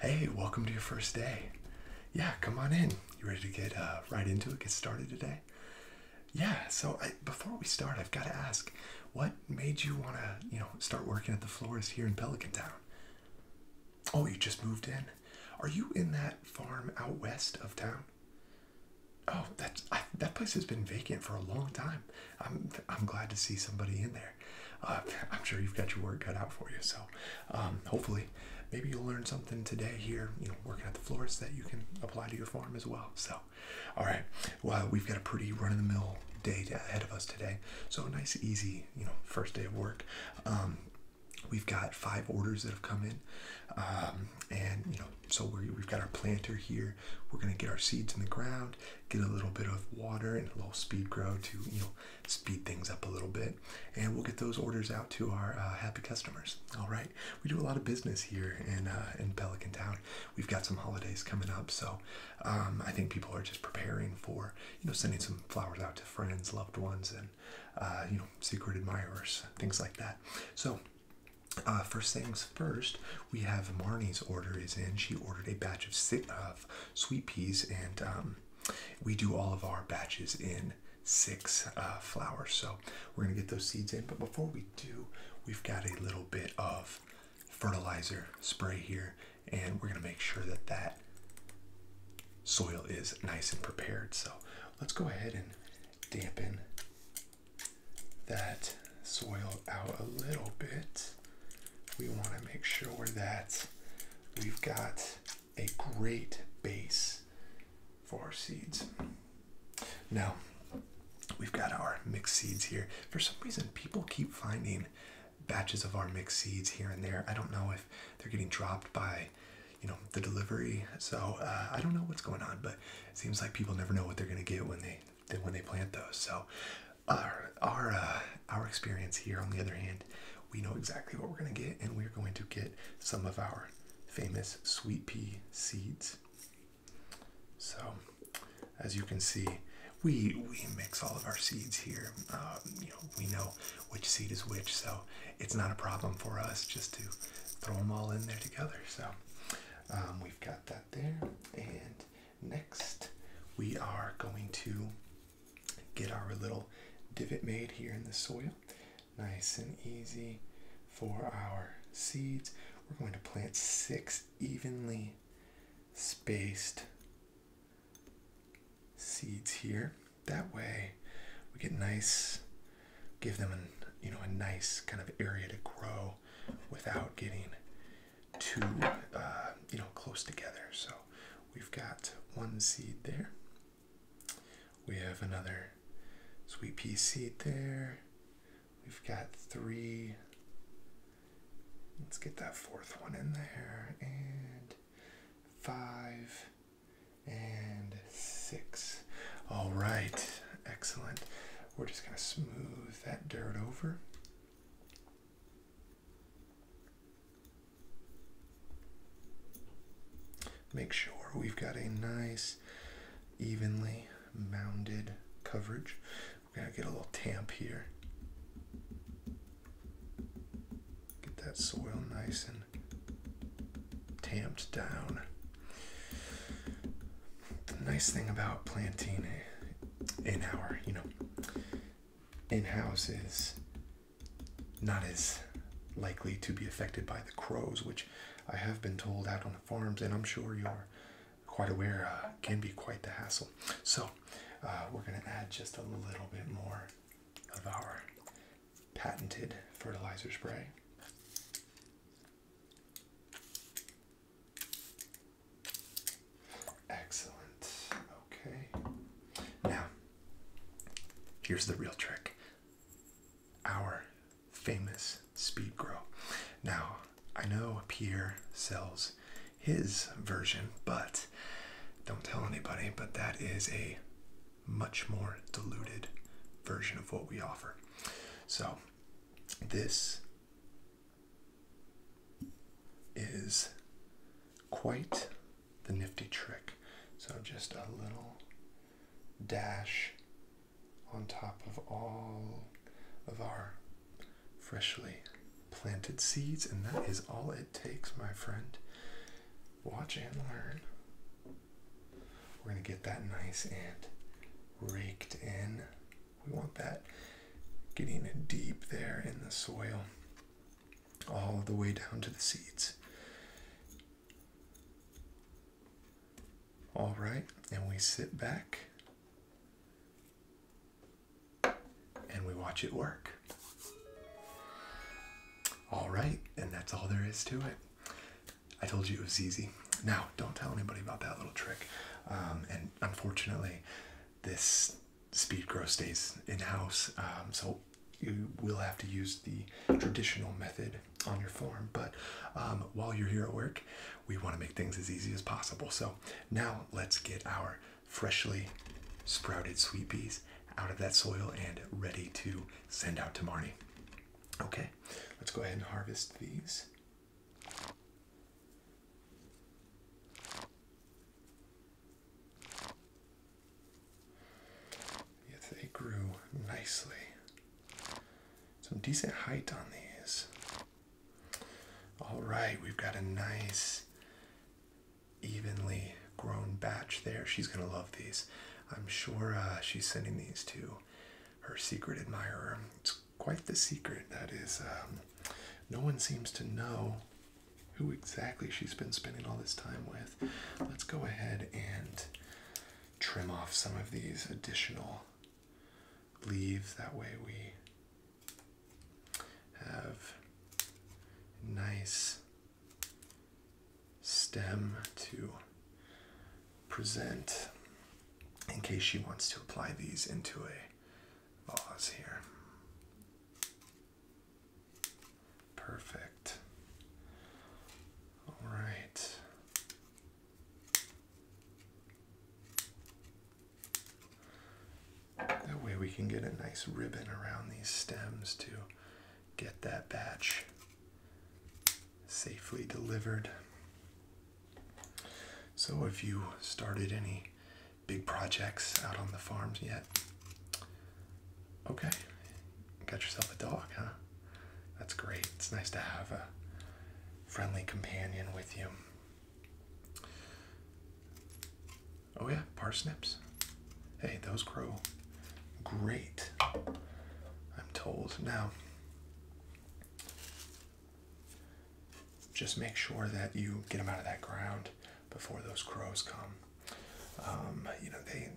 Hey, welcome to your first day. Yeah, come on in. You ready to get uh, right into it, get started today? Yeah, so before we start, I've got to ask, what made you want to, you know, start working at the florist here in Pelican Town? Oh, you just moved in. Are you in that farm out west of town? Oh, that that place has been vacant for a long time. I'm I'm glad to see somebody in there. Uh, I'm sure you've got your work cut out for you. So, um, hopefully, maybe you'll learn something today here. You know, working at the florist that you can apply to your farm as well. So, all right. Well, we've got a pretty run-of-the-mill day ahead of us today. So, nice, easy you know, first day of work. Um, we've got five orders that have come in, um, and you know, so we have got our planter here. We're gonna get our seeds in the ground, get a little bit of water and a little speed grow to you know speed things up a little bit, and we'll get those orders out to our uh, happy customers. All right, we do a lot of business here in uh, in Pelican Town. We've got some holidays coming up, so um, I think people are just preparing for you know sending some flowers out to friends, loved ones, and uh, you know secret admirers, things like that. So. Uh, first things first, we have Marnie's order is in. She ordered a batch of, si of sweet peas, and um, we do all of our batches in six uh, flowers. So we're gonna get those seeds in. But before we do, we've got a little bit of fertilizer spray here and we're going to make sure that that soil is nice and prepared. So let's go ahead and dampen that soil out a little bit. We want to make sure that we've got a great base for seeds. Now, we've got our mixed seeds here. For some reason, people keep finding batches of our mixed seeds here and there. I don't know if they're getting dropped by, you know, the delivery. So uh, I don't know what's going on, but it seems like people never know what they're gonna get when they when they plant those. So our our uh, our experience here, on the other hand, we know exactly what we're gonna get, and we're going to get some of our famous sweet pea seeds. So as you can see, we we mix all of our seeds here. Um, you know, we know which seed is which, so it's not a problem for us just to throw them all in there together. So um, we've got that there, and next we are going to get our little divot made here in the soil, nice and easy for our seeds. We're going to plant six evenly spaced seeds here. That way we get nice, give them a you know, a nice kind of area to grow without getting too, uh, you know, close together. So we've got one seed there. We have another sweet pea seed there. We've got three Let's get that fourth one in there. And five and six. All right, excellent. We're just going to smooth that dirt over. Make sure we've got a nice, evenly mounded coverage. We're going to get a little tamp here. Get that soil nice and tamped down. The nice thing about planting in our, you know, in-house is not as likely to be affected by the crows, which I have been told out on the farms, and I'm sure you are quite aware uh, can be quite the hassle. So uh, we're going to add just a little bit more of our patented fertilizer spray. Excellent. Okay. Now, here's the real trick. Our famous speed grow. Now, I know Pierre sells his version, but don't tell anybody, but that is a much more diluted version of what we offer. So, this is quite the nifty trick. So, just a little dash on top of all of our freshly planted seeds, and that is all it takes, my friend. Watch and learn. We're going to get that nice and raked in. We want that getting deep there in the soil, all the way down to the seeds. All right, and we sit back and we watch it work. All right, and that's all there is to it. I told you it was easy. Now, don't tell anybody about that little trick. Um, and unfortunately, this speed grow stays in house, um, so you will have to use the traditional method on your farm. But um, while you're here at work, we want to make things as easy as possible. So now let's get our freshly sprouted sweet peas out of that soil and ready to send out to Marnie. Okay, let's go ahead and harvest these. Yes, they grew nicely. Some decent height on these. All right, we've got a nice, evenly grown batch there. She's going to love these. I'm sure uh, she's sending these to her secret admirer. It's quite the secret that is, um, no one seems to know who exactly she's been spending all this time with. Let's go ahead and trim off some of these additional leaves. That way we have nice stem to present in case she wants to apply these into a vase here. Perfect. All right. That way we can get a nice ribbon around these stems to get that batch safely delivered. So have you started any big projects out on the farms yet, okay, got yourself a dog, huh? That's great. It's nice to have a friendly companion with you. Oh yeah, parsnips. Hey, those grow great. I'm told now. Just make sure that you get them out of that ground before those crows come. Um, you know they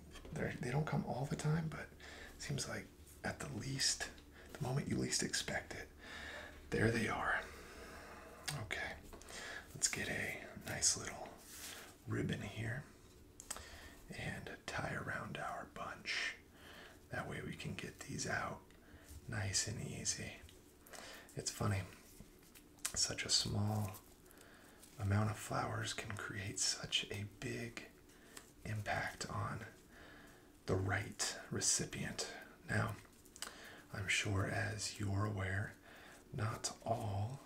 they don't come all the time, but it seems like at the least, the moment you least expect it. There they are. Okay, let's get a nice little ribbon here and tie around our bunch. That way we can get these out nice and easy. It's funny, such a small amount of flowers can create such a big impact on the right recipient. Now, I'm sure as you're aware, not all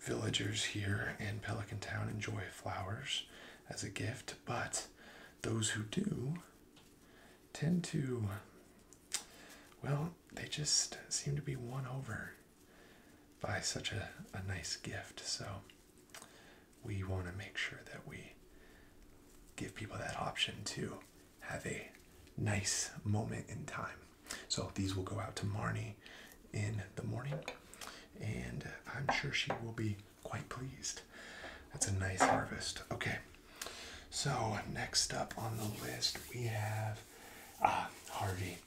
villagers here in Pelican Town enjoy flowers as a gift, but those who do tend to, well, they just seem to be won over by such a, a nice gift. So we want to make sure that we give people that option to have a nice moment in time. So these will go out to Marnie in the morning, and I'm sure she will be quite pleased. That's a nice harvest. Okay, so next up on the list we have ah, Harvey.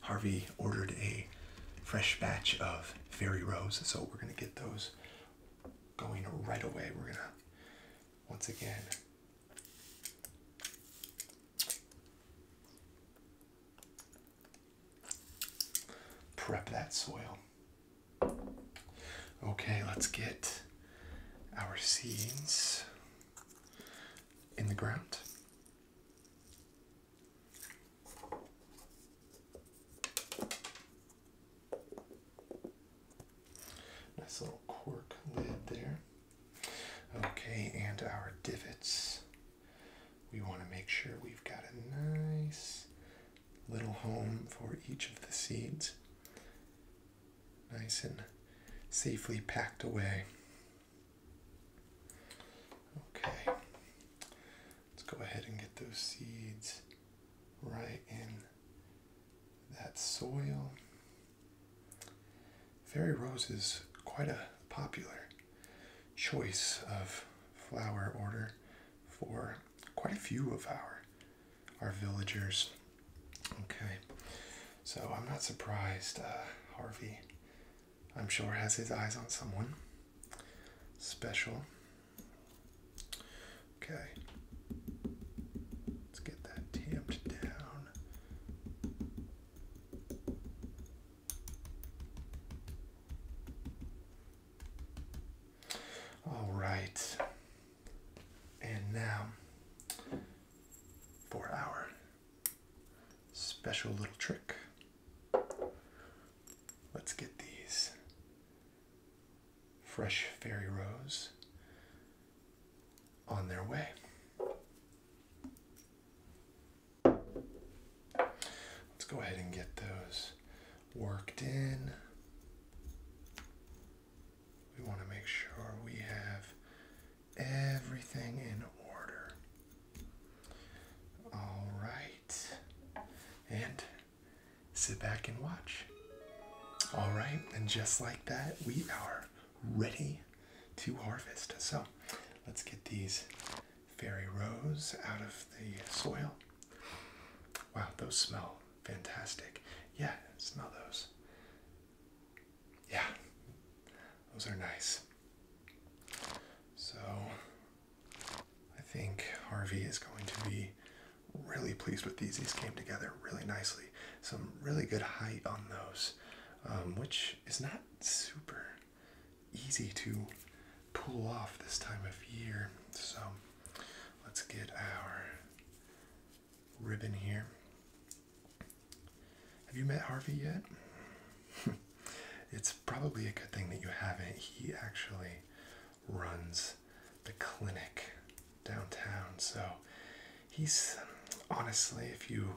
Harvey ordered a fresh batch of fairy rose. So we're going to get those going right away. We're going to, once again, prep that soil. Okay, let's get our seeds in the ground. Nice little cork lid there. Okay, and our divots. We want to make sure we've got a nice little home for each of the seeds. Nice and safely packed away. Okay. Let's go ahead and get those seeds right in that soil. Fairy rose is quite a popular choice of flower order for quite a few of our our villagers. Okay, so I'm not surprised uh, Harvey I'm sure has his eyes on someone special. Okay. Let's get that tamped down. All right. And now for our special little trick. Let's get these fresh fairy rose on their way. Let's go ahead and get those worked in. We want to make sure we have everything in order. All right. And sit back and watch. All right, and just like that, we are ready to harvest. So let's get these fairy rose out of the soil. Wow, those smell fantastic. Yeah, smell those. Yeah, those are nice. So I think Harvey is going to be really pleased with these. These came together really nicely. Some really good height on those, um, which is not super easy to pull off this time of year. So let's get our ribbon here. Have you met Harvey yet? it's probably a good thing that you haven't. He actually runs the clinic downtown, so he's honestly, if you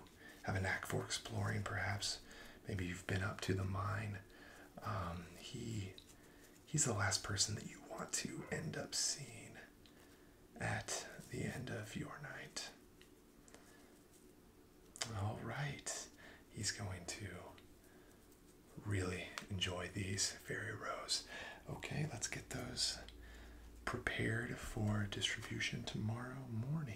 have a knack for exploring, perhaps maybe you've been up to the mine. Um, he he's the last person that you want to end up seeing at the end of your night. All right, he's going to really enjoy these fairy rose. Okay, let's get those prepared for distribution tomorrow morning.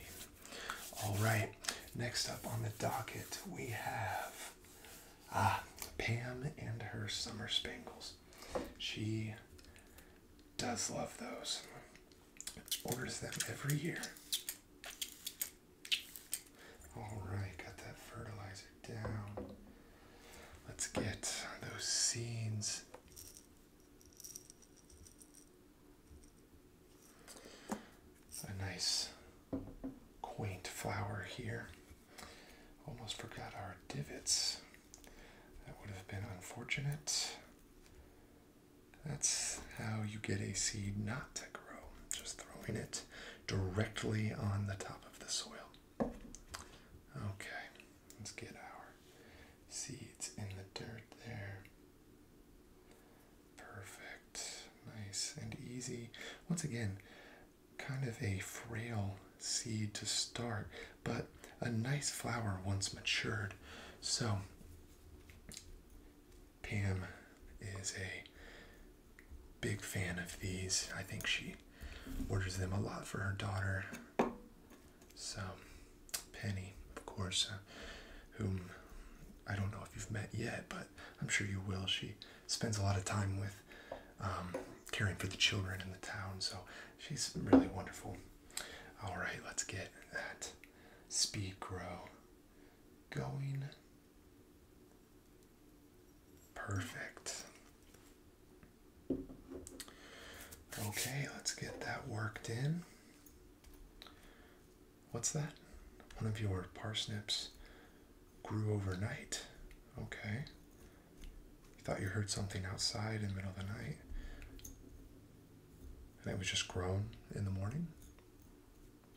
All right, next up on the docket, we have ah, Pam and her Summer Spangles. She does love those, orders them every year. All right, got that fertilizer down. Let's get those seeds. A nice quaint flower here. Almost forgot our divots. That would have been unfortunate. That's how you get a seed not to grow, just throwing it directly on the top of the soil. Okay, let's get our seeds in the dirt there. Perfect, nice and easy. Once again, kind of a frail seed to start, but a nice flower once matured. So Pam is a big fan of these. I think she orders them a lot for her daughter. So, Penny, of course, uh, whom I don't know if you've met yet, but I'm sure you will. She spends a lot of time with um, caring for the children in the town, so she's really wonderful. All right, let's get that speed grow going. Perfect. Okay, let's get that worked in. What's that? One of your parsnips grew overnight. Okay. thought you heard something outside in the middle of the night. And it was just grown in the morning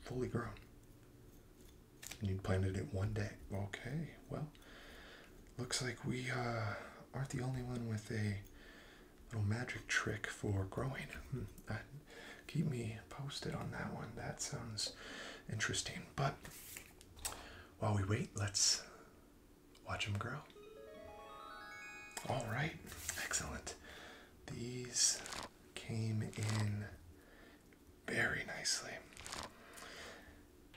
fully grown. And you planted it one day. Okay, well, looks like we uh, aren't the only one with a little magic trick for growing. Hmm, uh, keep me posted on that one. That sounds interesting. But while we wait, let's watch them grow. All right, excellent. These came in very nicely.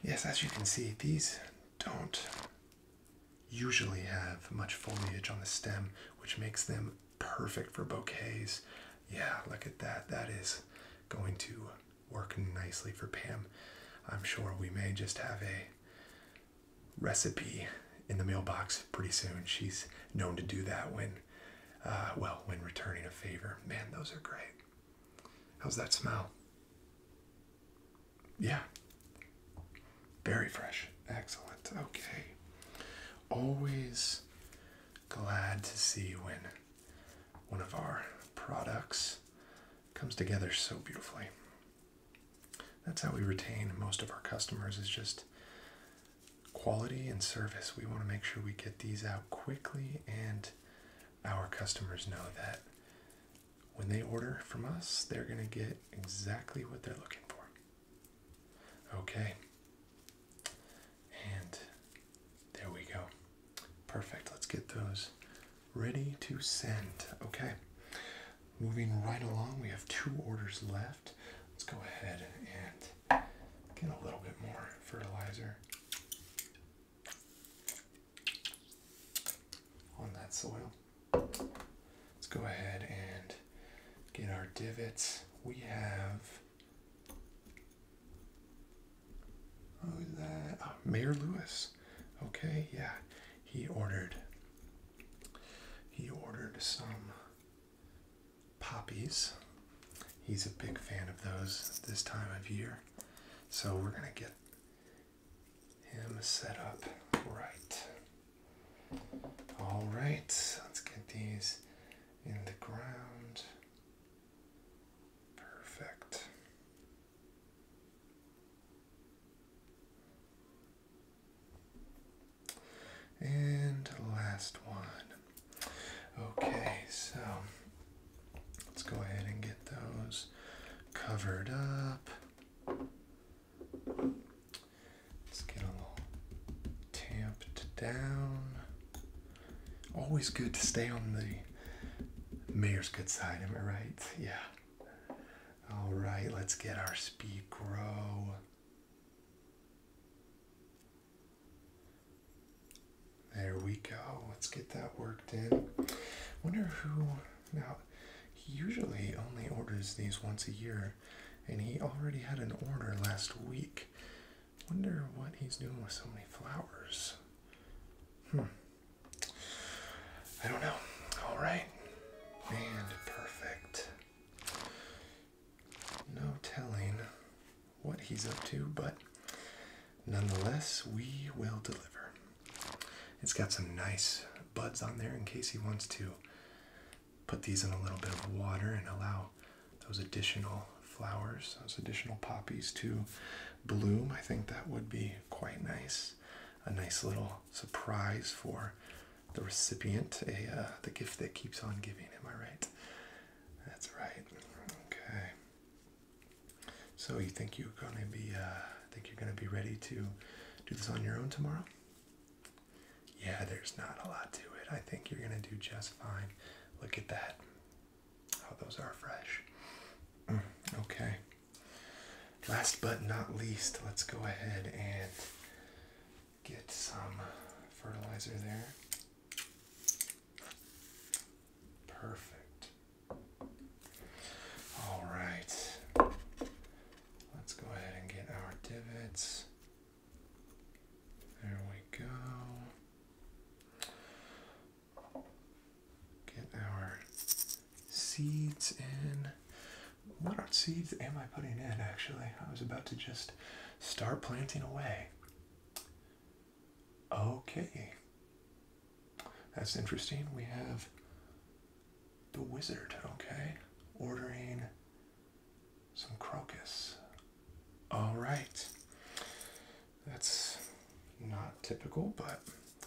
Yes, as you can see, these don't usually have much foliage on the stem, which makes them perfect for bouquets. Yeah, look at that. That is going to work nicely for Pam. I'm sure we may just have a recipe in the mailbox pretty soon. She's known to do that when, uh, well, when returning a favor. Man, those are great. How's that smell? Yeah. Very fresh. Excellent. Okay. Always glad to see when one of our products comes together so beautifully. That's how we retain most of our customers is just quality and service. We want to make sure we get these out quickly and our customers know that when they order from us, they're going to get exactly what they're looking for. Okay. And there we go. Perfect. Let's get those ready to send. Okay. Moving right along, we have two orders left. Let's go ahead and get a little bit more fertilizer on that soil. Let's go ahead and get our divots. We have who's oh, that? Uh, Mayor Lewis. Okay, yeah, he ordered he ordered some poppies. He's a big fan of those this time of year. So we're going to get him set up right. All right, let's get these in the ground. Perfect. And last one. Okay, so let's go ahead and get those covered up. Let's get a little tamped down. Always good to stay on the mayor's good side, am I right? Yeah. All right, let's get our speed grow. There we go. Let's get that worked in. Wonder who now he usually only orders these once a year and he already had an order last week. Wonder what he's doing with so many flowers. Hmm. I don't know. All right. And perfect. No telling what he's up to, but nonetheless, we will deliver. It's got some nice buds on there in case he wants to put these in a little bit of water and allow those additional flowers, those additional poppies to bloom. I think that would be quite nice. A nice little surprise for the recipient a uh, the gift that keeps on giving. Am I right? That's right. Okay. So you think you're gonna be uh, think you're gonna be ready to do this on your own tomorrow? Yeah, there's not a lot to it. I think you're gonna do just fine. Look at that. Oh, those are fresh. Mm, okay. Last but not least, let's go ahead and get some fertilizer there. Perfect. All right. Let's go ahead and get our divots. There we go. Get our seeds in. What are seeds am I putting in actually? I was about to just start planting away. Okay. That's interesting. We have the wizard, okay, ordering some crocus. All right. That's not typical, but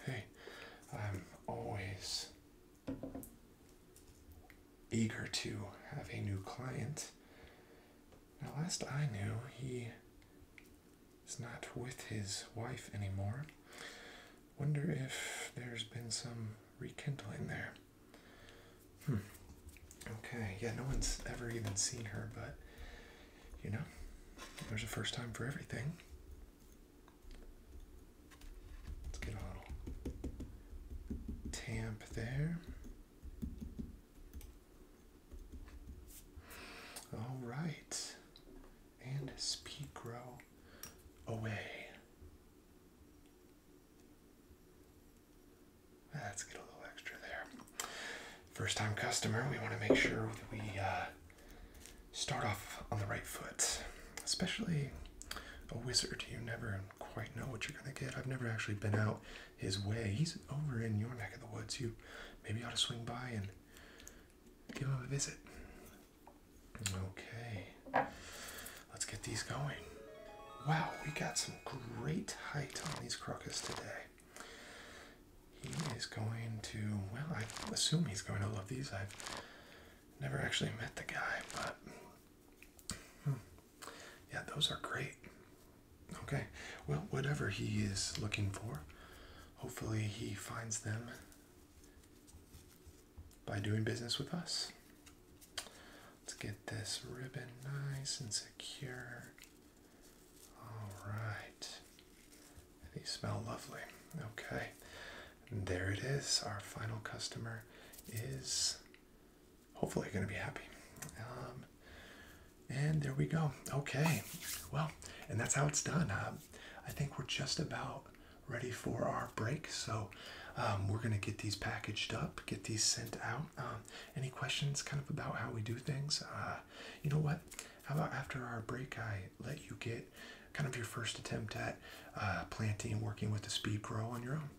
hey, I'm always eager to have a new client. Now, last I knew, he is not with his wife anymore. Wonder if there's been some rekindling there. Hmm. Okay, yeah, no one's ever even seen her, but you know, there's a first time for everything. Let's get a little tamp there. All right, and speed grow away. Let's get a little extra there. First time customer, we want to make sure that we uh, start off on the right foot, especially a wizard. You never quite know what you're going to get. I've never actually been out his way. He's over in your neck of the woods. You maybe ought to swing by and give him a visit. Okay, let's get these going. Wow, we got some great height on these crocus today. He is going to, well, I assume he's going to love these. I've Never actually met the guy, but hmm. yeah, those are great. Okay, well, whatever he is looking for, hopefully he finds them by doing business with us. Let's get this ribbon nice and secure. All right. These smell lovely. Okay, there it is. Our final customer is hopefully going to be happy. Um, and there we go. Okay, well, and that's how it's done. Uh, I think we're just about ready for our break. So um, we're going to get these packaged up, get these sent out. Um, any questions kind of about how we do things? Uh, you know what? How about after our break, I let you get kind of your first attempt at uh, planting and working with the speed grow on your own.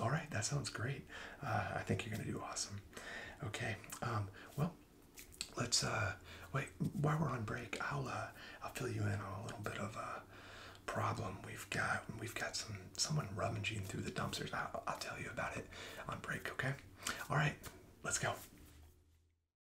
All right, that sounds great. Uh, I think you're gonna do awesome. Okay, um, well, let's uh, wait. While we're on break, I'll I'll fill you in on a little bit of a problem we've got. We've got some someone rummaging through the dumpsters. I'll tell you about it on break. Okay. All right, let's go.